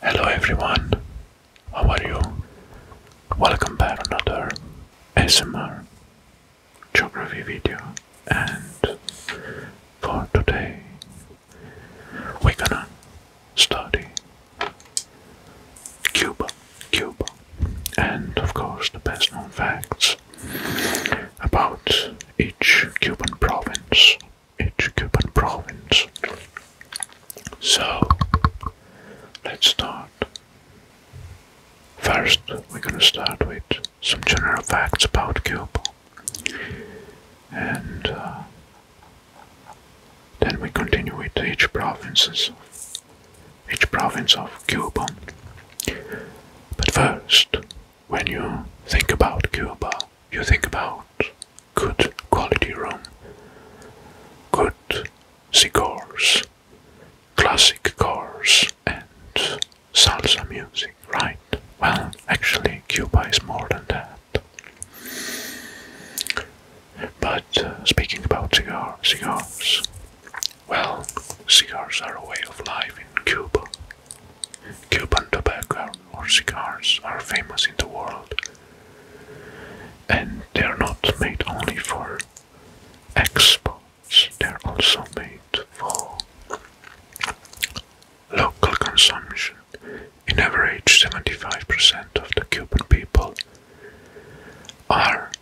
Hello everyone, how are you? Welcome back another ASMR geography video and for today we're gonna study Cuba, Cuba, and of course the best known facts about each Cuban province, each Cuban province. So let's start. First, we're gonna start with some general facts about Cuba, and uh, then we continue with each provinces, each province of Cuba. But first, when you think about Cuba, you think about good quality rum, good cigars, classic cars, music and salsa music, right? Well, actually, Cuba is more than that. But uh, speaking about cigar, cigars, well, cigars are a way of life in Cuba. Cuban tobacco or cigars are famous in the world, and they are not made only for exports, they are also made for Local consumption, in average 75% of the Cuban people, are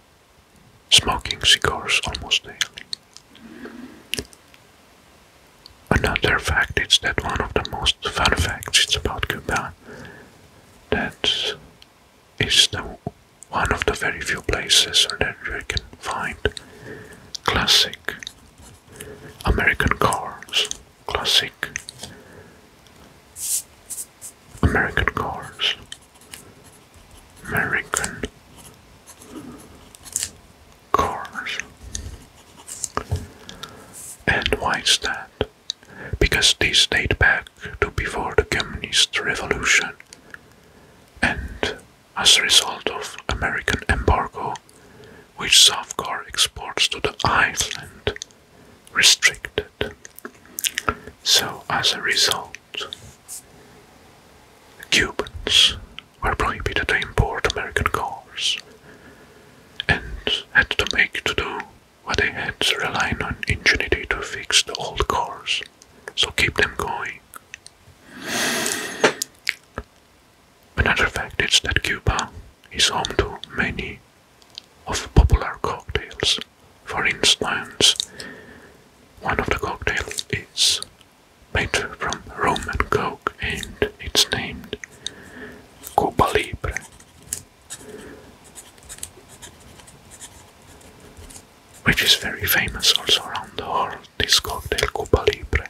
smoking cigars almost daily. Another fact is that one of the most fun facts is about Cuba that is the one of the very few places that you can find classic American Cars, classic. American Cars, American Cars. And why is that? Because these date back to before the Communist Revolution and as a result of American embargo, which South Safkar exports to the island, restricted. So, as a result, Cubans were prohibited to import American cars and had to make to do what they had to rely on ingenuity to fix the old cars, so keep them going. Another fact is that Cuba is home to many of popular cocktails. For instance, one of the cocktails is made from rum and coke and it's named Cuba Libre. Which is very famous also around the world discount El Cuba Libre.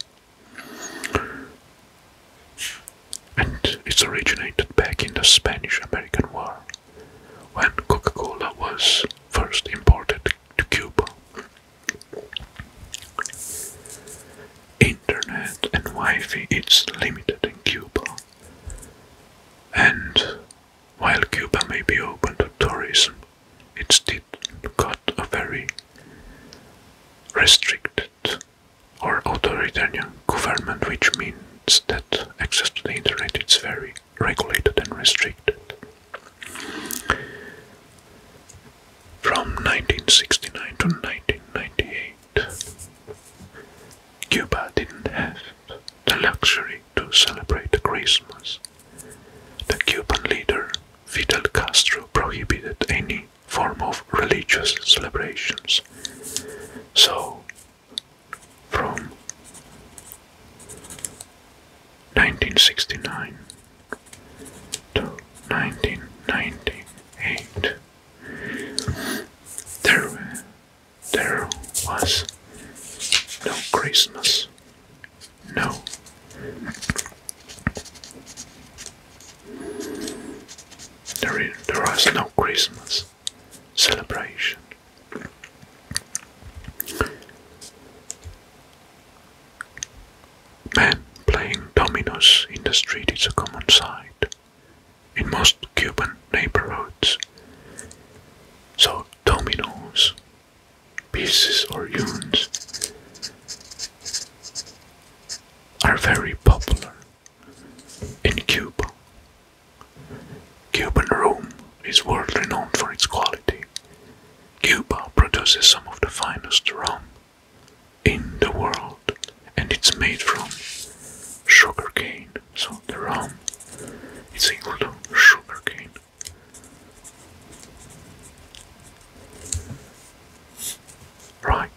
And it originated back in the Spanish-American War, when Coca-Cola was first imported to Cuba. Internet and Wi-Fi is limited in Cuba, and while Cuba may be open to tourism, it's still got a very restricted or authoritarian government, which means that access to the internet is very regulated and restricted. From 1969 to 1998, Cuba didn't have the luxury to celebrate Christmas the Cuban leader Fidel Castro prohibited any form of religious celebrations. So, from 1969 to 1998, there, there was no Christmas no. There is, no Christmas celebration. Men playing dominoes in the street is a common sight in most Cuban neighborhoods. So, dominoes pieces or urns are very popular in Cuba. Cuban rum is world renowned for its quality. Cuba produces some of the finest rum in the world and it's made from sugarcane. So the rum is equal to sugarcane. Right.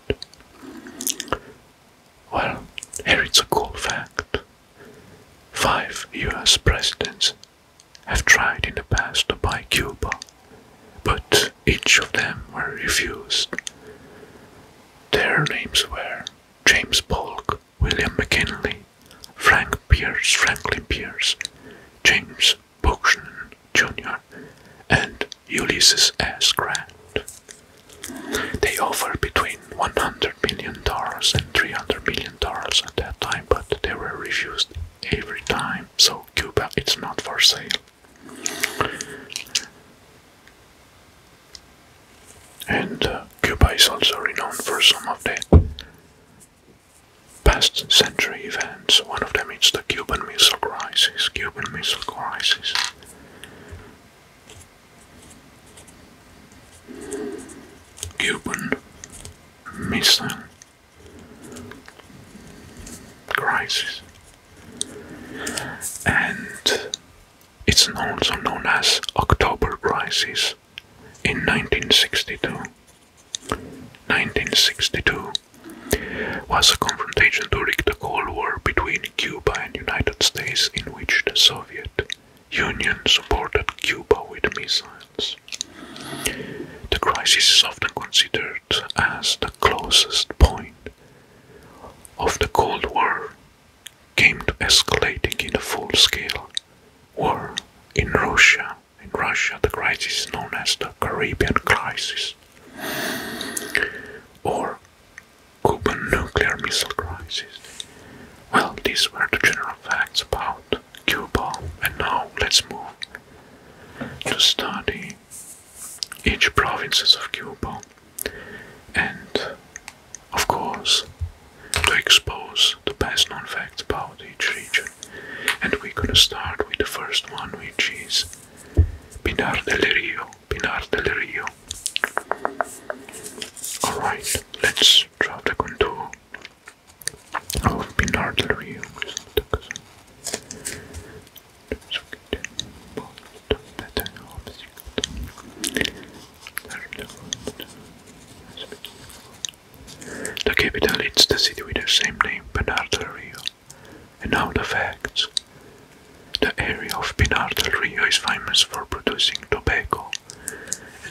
Well, here it's a cool fact. Five US presidents have tried in the past to buy Cuba, but each of them were refused. Their names were James Polk, William McKinley, Frank Pierce, Franklin Pierce, James Buchanan Jr. and Ulysses S. Grant. They offered between $100 million and $300 million at that time, but they were refused every time, so Cuba is not for sale. And uh, Cuba is also renowned for some of the past century events. One of them is the Cuban Missile Crisis. Cuban Missile Crisis. Cuban Missile Crisis. And it's also known as October Crisis in 1962. 1962 was a confrontation during the Cold War between Cuba and United States in which the Soviet Union supported Cuba with missiles. The crisis is often considered as the closest point of the Cold War came to escalating in a full-scale war in Russia in Russia, the crisis is known as the Caribbean Crisis or Cuban nuclear missile crisis. Well, these were the general facts about Cuba, and now let's move to study each provinces of Cuba and, of course, to expose the best known facts about each region. And we're gonna start with the first one, which is Pinar del Rio. Pinar del Rio. Alright, let's draw the contour of Pinar del Rio. The capital is the city with the same name, Pinar Rio. And now the facts. The area of Pinar Rio is famous for producing tobacco,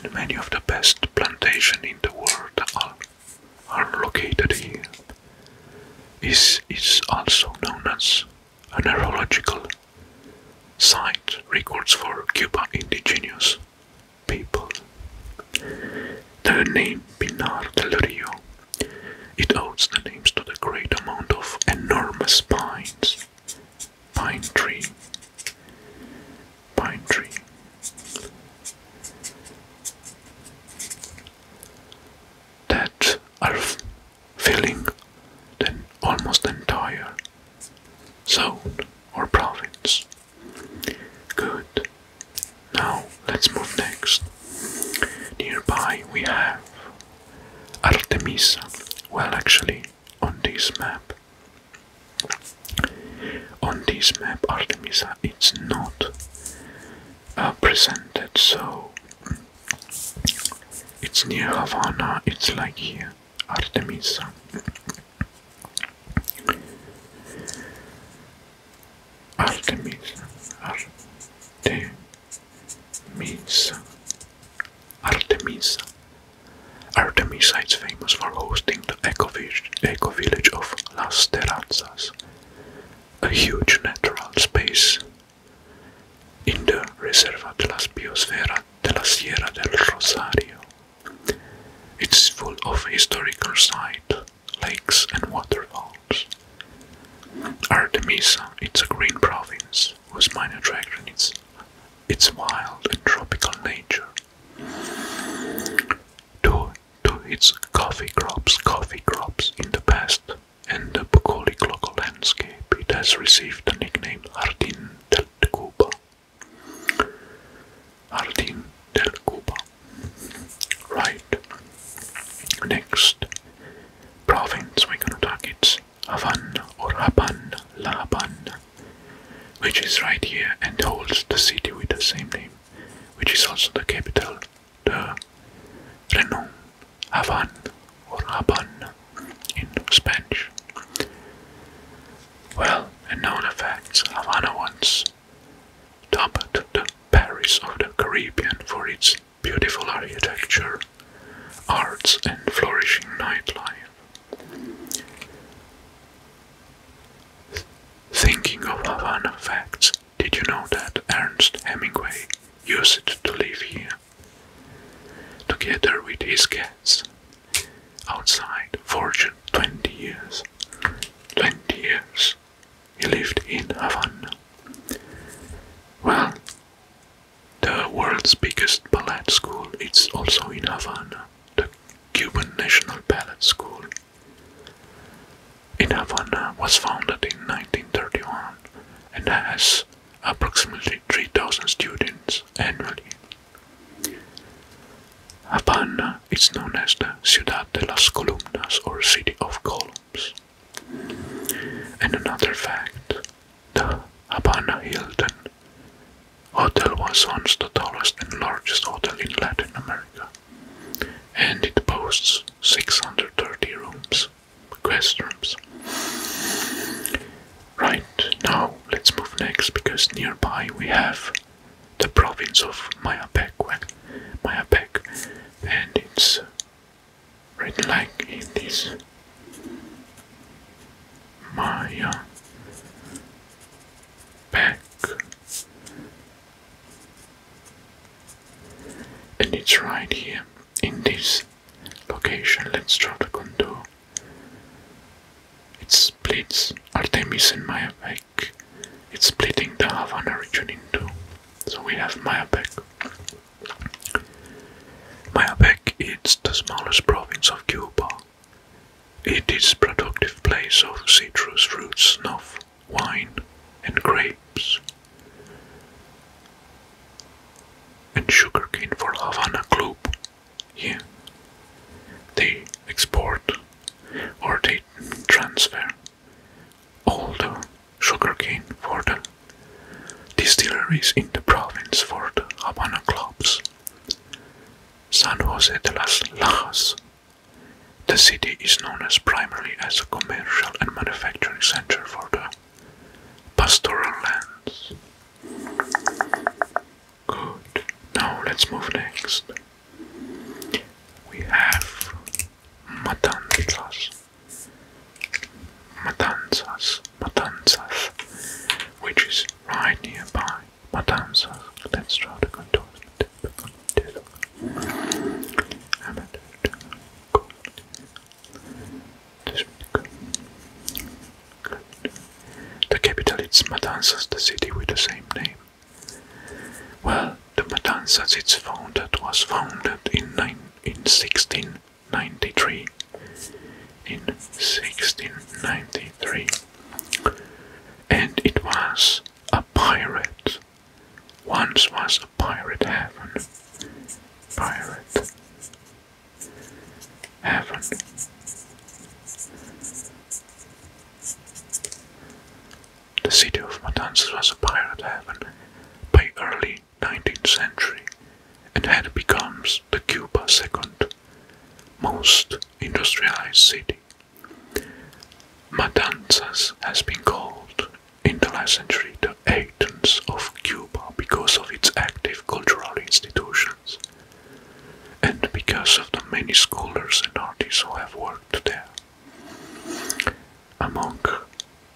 and many of the best plantations in the world are, are located here. It is also known as an neurological site records for Cuba indigenous people. The name Pinar del Rio. It owes the names to the great amount of enormous pines. Pine tree. Pine tree. That are filling the almost entire zone or province. Good. Now let's move next. Nearby we have Artemisa. Well, actually, on this map, on this map, Artemisa it's not uh, presented, so it's near Havana. It's like here, Artemisa. Artemisa. Artemis, Artemisa. Artemisa is famous for hosting the eco, eco village of Las Terrazas, a huge natural space in the Reserva de la Biosfera de la Sierra del Rosario. It's full of historical sites, lakes and waterfalls. Artemisa, it's a green province whose main attraction is its wild and tropical nature. To, to its coffee crops, coffee crops in the past, and the bucolic local landscape, it has received the nickname Jardín del Cuba, Jardín del Cuba. Right. Next province we're going to target is Havana or Habana, La Habana, which is right here and holds the city with the same name, which is also the capital, the renowned Havan or Habana in Spanish well known effects Havana once dubbed the Paris of the Caribbean for its beautiful architecture, arts, and flourishing nightlife. Thinking of Havana facts, did you know that Ernest Hemingway used to live here? Together with his cat outside fortune 20 years 20 years he lived in havana well the world's biggest ballet school its also in havana the cuban national ballet school in havana was founded in 1931 and has approximately 3000 students annually Havana is known as the Ciudad de las Columnas or City of Columns. And another fact the Habana Hilton Hotel was once the tallest and largest hotel in Latin America, and it boasts 630 rooms, guest rooms. Right, now let's move next because nearby we have the province of Mayapac, Mayapac, and it's written like in this Maya Pack, and it's right here in this location. Let's draw the contour. It splits Artemis and Mayabeck. It's splitting the Havana region in two. So we have Maya. Mayabeck is the smallest province of Cuba. It is productive place of citrus fruits, snuff, wine, and grapes. And sugarcane for Havana Club, yeah, they export or they transfer all the sugar cane for the distilleries in the province for the Habana clubs. San Jose de las Lajas. The city is known primarily as a commercial and manufacturing center for the pastoral lands. Good. Now let's move next. We have matanzas. Matanzas, Matanzas, which is right nearby. Matanzas. Let's draw the control the capital is Matanzas, the city with the same name. Well, the Matanzas it's founded was founded in, nine, in 1693. In 1693. And it was a pirate. Once was a pirate heaven. Pirate happened. The city of Matanzas was a pirate haven by early 19th century and had become the Cuba's second most industrialized city. Matanzas has been called in the last century the Athens of Cuba because of its active cultural institutions and because of the many scholars and artists who have worked there. Among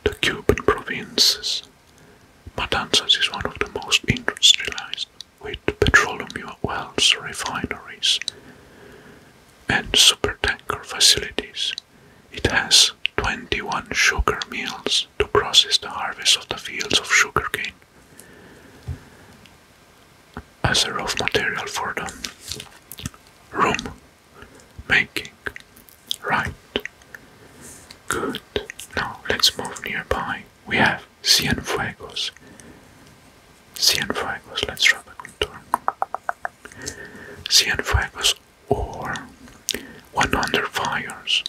the Cuban provinces, Matanzas is one of the most industrialized, with petroleum wells, refineries, and super tanker facilities. It has 21 sugar mills to process the harvest of the fields of sugarcane as a rough material for the room making. Right. Good. Now let's move nearby. We have Cienfuegos. Cienfuegos, let's try the contour. Cienfuegos or 100 Fires.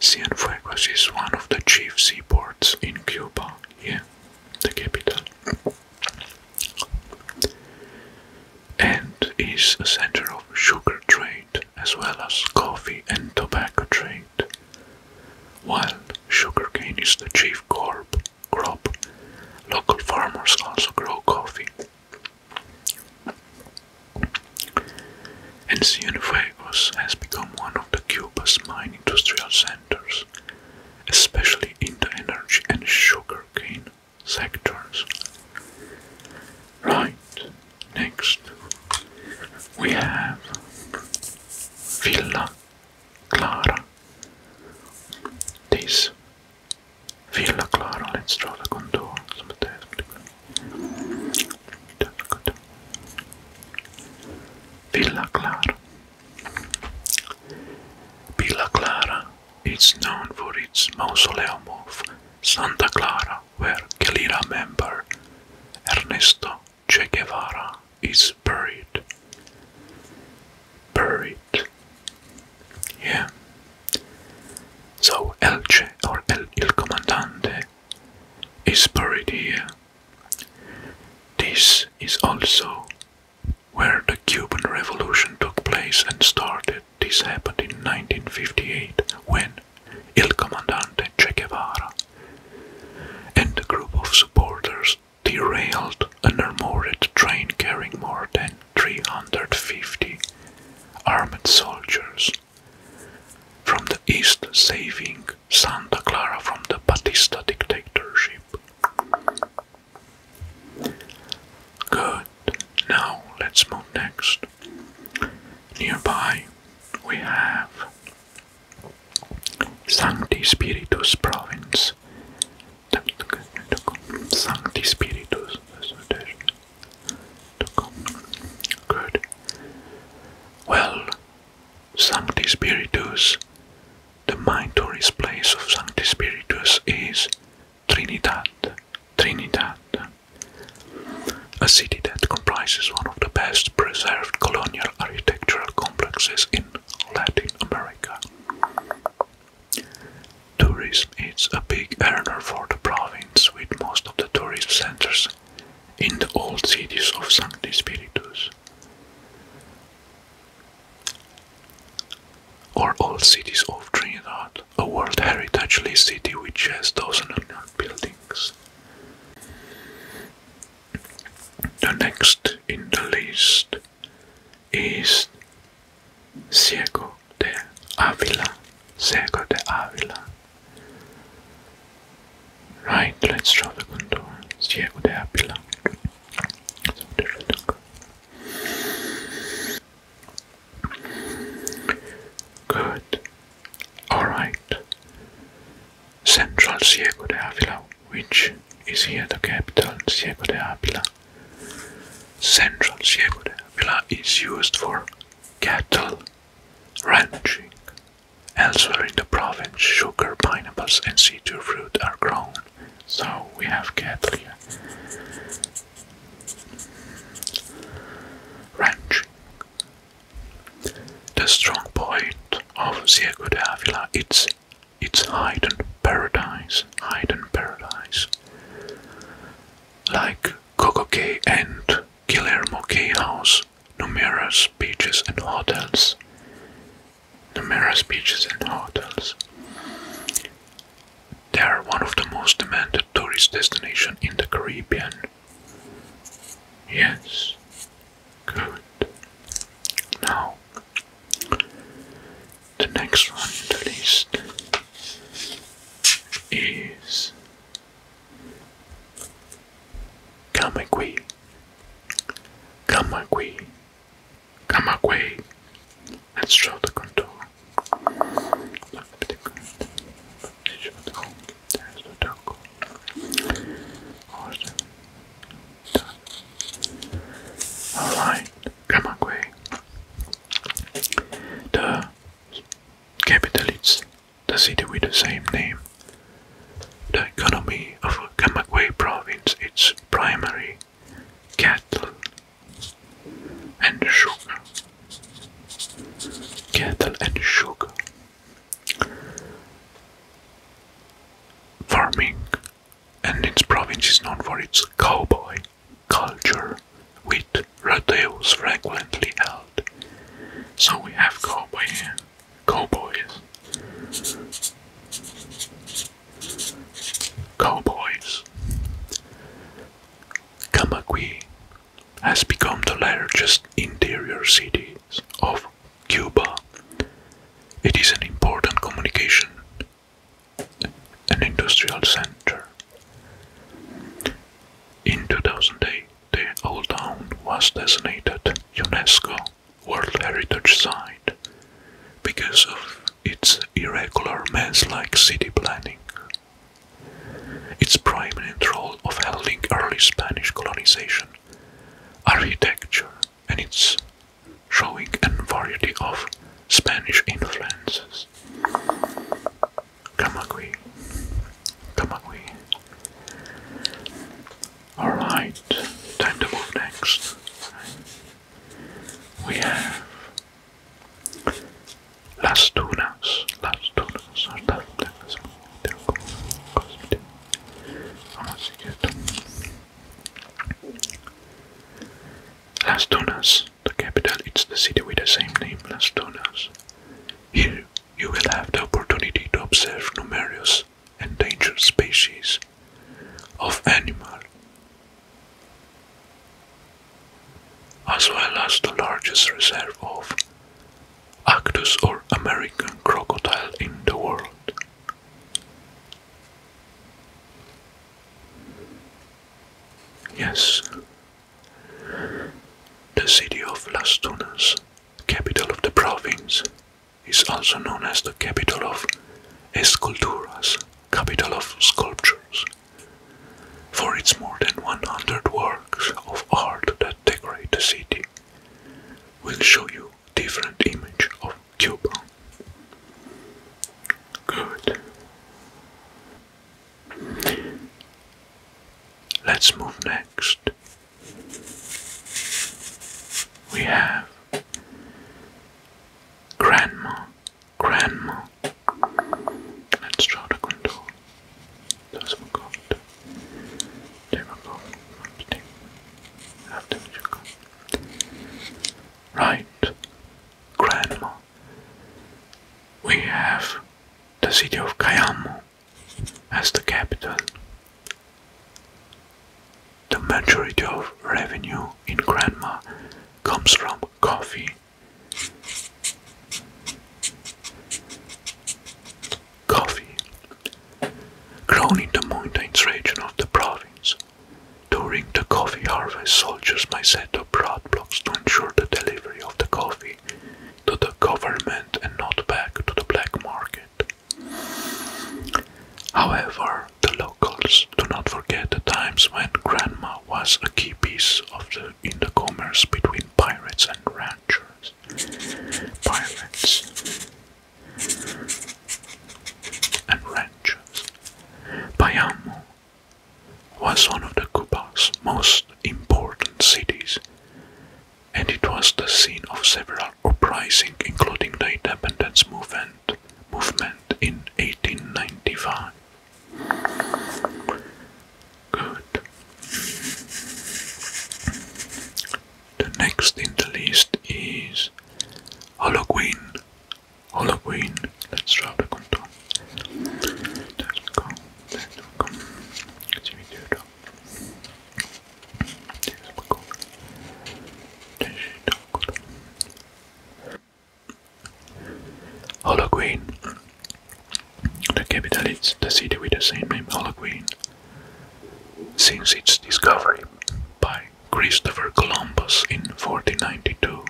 San Cienfuegos is one of the chief seaports in Cuba, yeah, the capital, and is a center of sugar trade as well as coffee and tobacco trade. While sugarcane is the chief crop, local farmers also grow coffee and Cienfuegos has become one of the Cuba's main industrial centers, especially in the energy and sugar cane sectors. Right, next we have Villa Clara. This Villa Clara, let's draw the contours Villa Clara. Villa Clara is known for its mausoleum of Santa Clara, where Guerrilla member Ernesto Che Guevara is buried. Buried. Yeah. So El Che or El, Il Comandante is buried here this is also where the Cuban Revolution took place and started. This happened in 1958 when Il Comandante Che Guevara and a group of supporters derailed an armored train carrying more than 350 armed soldiers from the east, saving Santa Clara from the Batista dictatorship. Good. Now let's move next. Nearby we have Sancti Spiritus province. Sancti Spiritus. Good. Well, Sancti Spiritus. The main tourist place of Sancti Spiritus is Trinidad, Trinidad, a city that comprises one of the best preserved colonial architectural complexes in Latin America. Tourism is a big earner for the province, with most of the tourist centers in the old cities of Sancti Spiritus. Or old cities of Trinidad, a World Heritage List city which has of buildings. The next in the list is Ciego de Avila. Ciego de Avila. Right, let's draw the contour. Diego de Apila. So there Good. Alright. Central Ciego de Avila, which is here the capital, Ciego de Avila. Central Ciego de Avila is used for cattle ranching Elsewhere in the province, sugar, pineapples, and citrus fruit are grown. So we have cattle Ranching. The strong point of Ciego de Avila is its hidden paradise. Hidden paradise. Like Coco and Guillermo K. House, numerous beaches and hotels. Numerous beaches and hotels. They are one of the most demanded tourist destinations in the Caribbean. Yes. Good. Now, the next one on the list is Come on, away. Come on, away. Come on, away. Let's show the contour. Look at the contour. Show the contour. There's the taco. Alright. Come away. The capital is the city with the same name. The economy of Kamakwe province is primary cattle and sugar. Cattle and sugar. Farming and its province is known for its cowboy culture with rodeos frequently held. So we have cowboy here. Cowboys, boys. Go has become the largest interior city of Cuba. It is an important communication and industrial center. In 2008, the old town was designated UNESCO World Heritage Site because of its irregular mans like city planning. Its prominent role of handling early Spanish colonization, architecture, and its showing a variety of Spanish influences. Camagüey, Camagüey Alright, time to move next. We have Las Tunas. Las Tunas Las Tunas, the capital, it's the city with the same name, Las Tunas. Here you will have the opportunity to observe numerous endangered species of animal, as well as the largest reserve of Actus or American crocodile in the world. Yes, the city of Las Tunas capital of the province, is also known as the capital of Esculturas, capital of sculptures, for its more than 100 works of art that decorate the city. We'll show you different image of Cuba. Good. Let's move next we have Grandma, Grandma, and Strata Control. Those were called. They were called marketing. After which you Right, Grandma. We have the city of Kayamo as the capital. The majority of revenue in Granma comes from coffee. Coffee, grown in the mountains region of the province, during the coffee harvest, soldiers may set up roadblocks to ensure the delivery of the coffee to the government and not back to the black market. However, the locals do not forget the times when grandma was a key piece in the commerce between pirates and ranchers. Pirates and ranchers. Bayamo was one of the Cuba's most important cities and it was the scene of several uprisings including the independence movement, movement in 1895. Good. The next in the list is Halloween. Halloween. Let's try the contour. Let's go. Let's go. Let's do Hologuin. The capital is the city with the same name, Hologuin. Since its discovery by Christopher Columbus in 1492,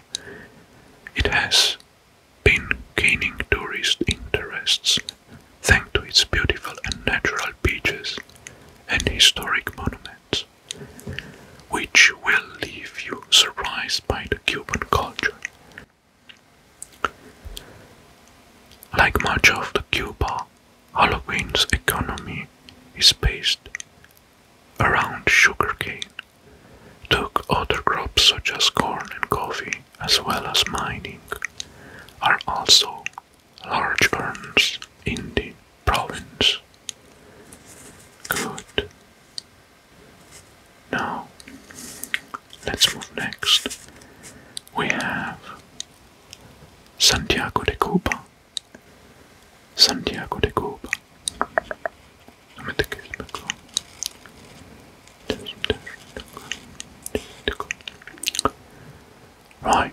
it has been gaining tourist interests thanks to its beautiful and natural beaches and historic monuments, which will leave you surprised by the Cuban culture. Like much of the Cuba, Halloween's economy is based around sugarcane, though other crops such as corn and coffee as well as mining are also large urns in the province. Good. Now, let's move next. We have Santiago de Cuba. Santiago de Cuba. Right,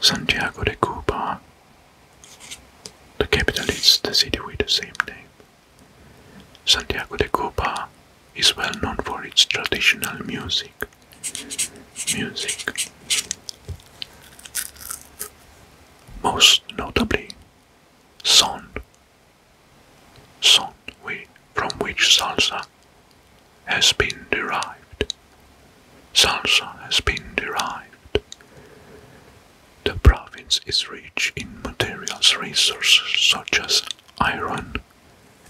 Santiago de Cuba. The capital is the city with the same name. Santiago de Cuba is well known for its traditional music. Music. Most notably, son song from which salsa has been derived. Salsa has been derived. The province is rich in materials resources such as iron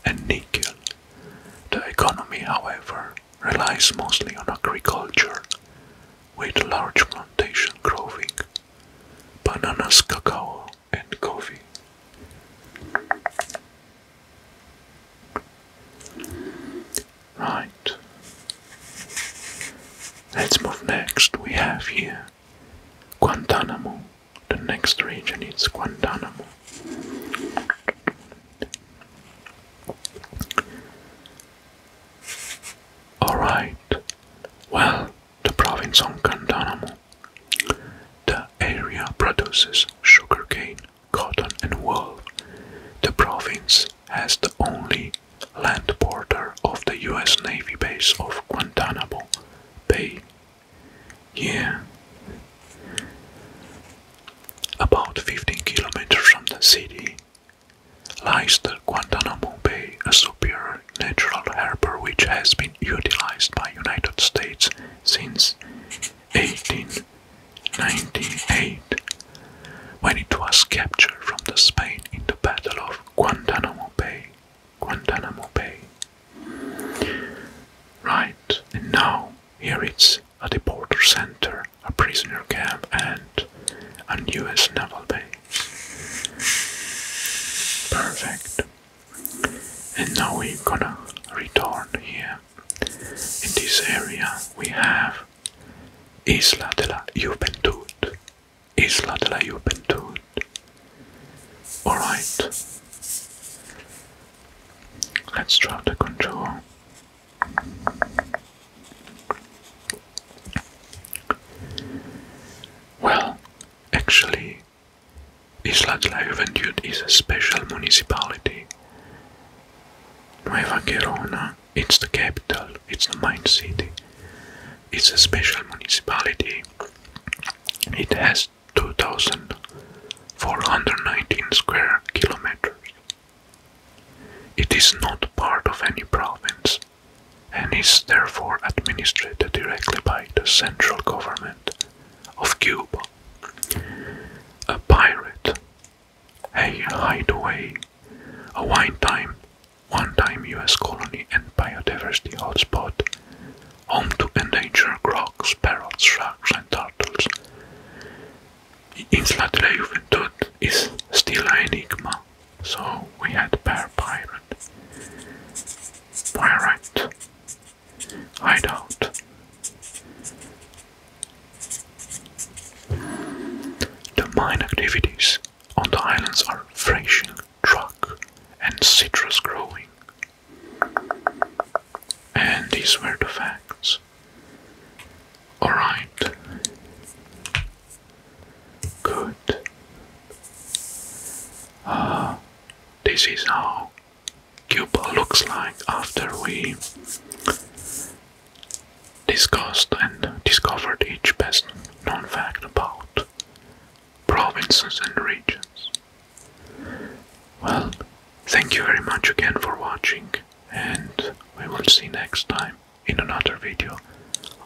and nickel. The economy, however, relies mostly on agriculture, with large plantation growing. Bananas, cacao, and coffee. Right. Let's move next. We have here Guantanamo. The next region is Guantanamo. Alright, well, the province of Guantanamo the area produces sugarcane, cotton and wool. The province has the only land border of the US Navy base of Guantanamo Bay. Yeah. About 15 kilometers from the city lies the Guantanamo Bay, a superior natural harbor which has been utilized by United States since 1898 when it was captured from the Spain in the Battle of Guantanamo Bay. Guantanamo Bay. Right, and now here it's a deporter center, a prisoner camp, and a US naval base. Perfect and now we're gonna return here in this area we have Isla de la Juventud Isla de la Juventud alright let's draw the contour well actually Isla Juventud is a special municipality. Nueva Gerona, it's the capital, it's the main city. It's a special municipality. It has 2,419 square kilometers. It is not part of any province and is therefore administered directly by the central government of Cuba. A pirate, a hideaway, a one-time one -time US colony and biodiversity hotspot, home to endangered crocs, parrots, sharks and turtles. Insula de la Juventud is still an enigma so we had Bear Pirate, Pirate, I don't. The mine activities on the islands are fishing, truck, and citrus growing. And these were the facts. Alright. Good. Uh, this is how Cuba looks like after we discussed and discovered each best known fact about provinces and regions. Well, thank you very much again for watching, and we will see next time in another video.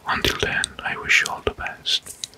Until then, I wish you all the best.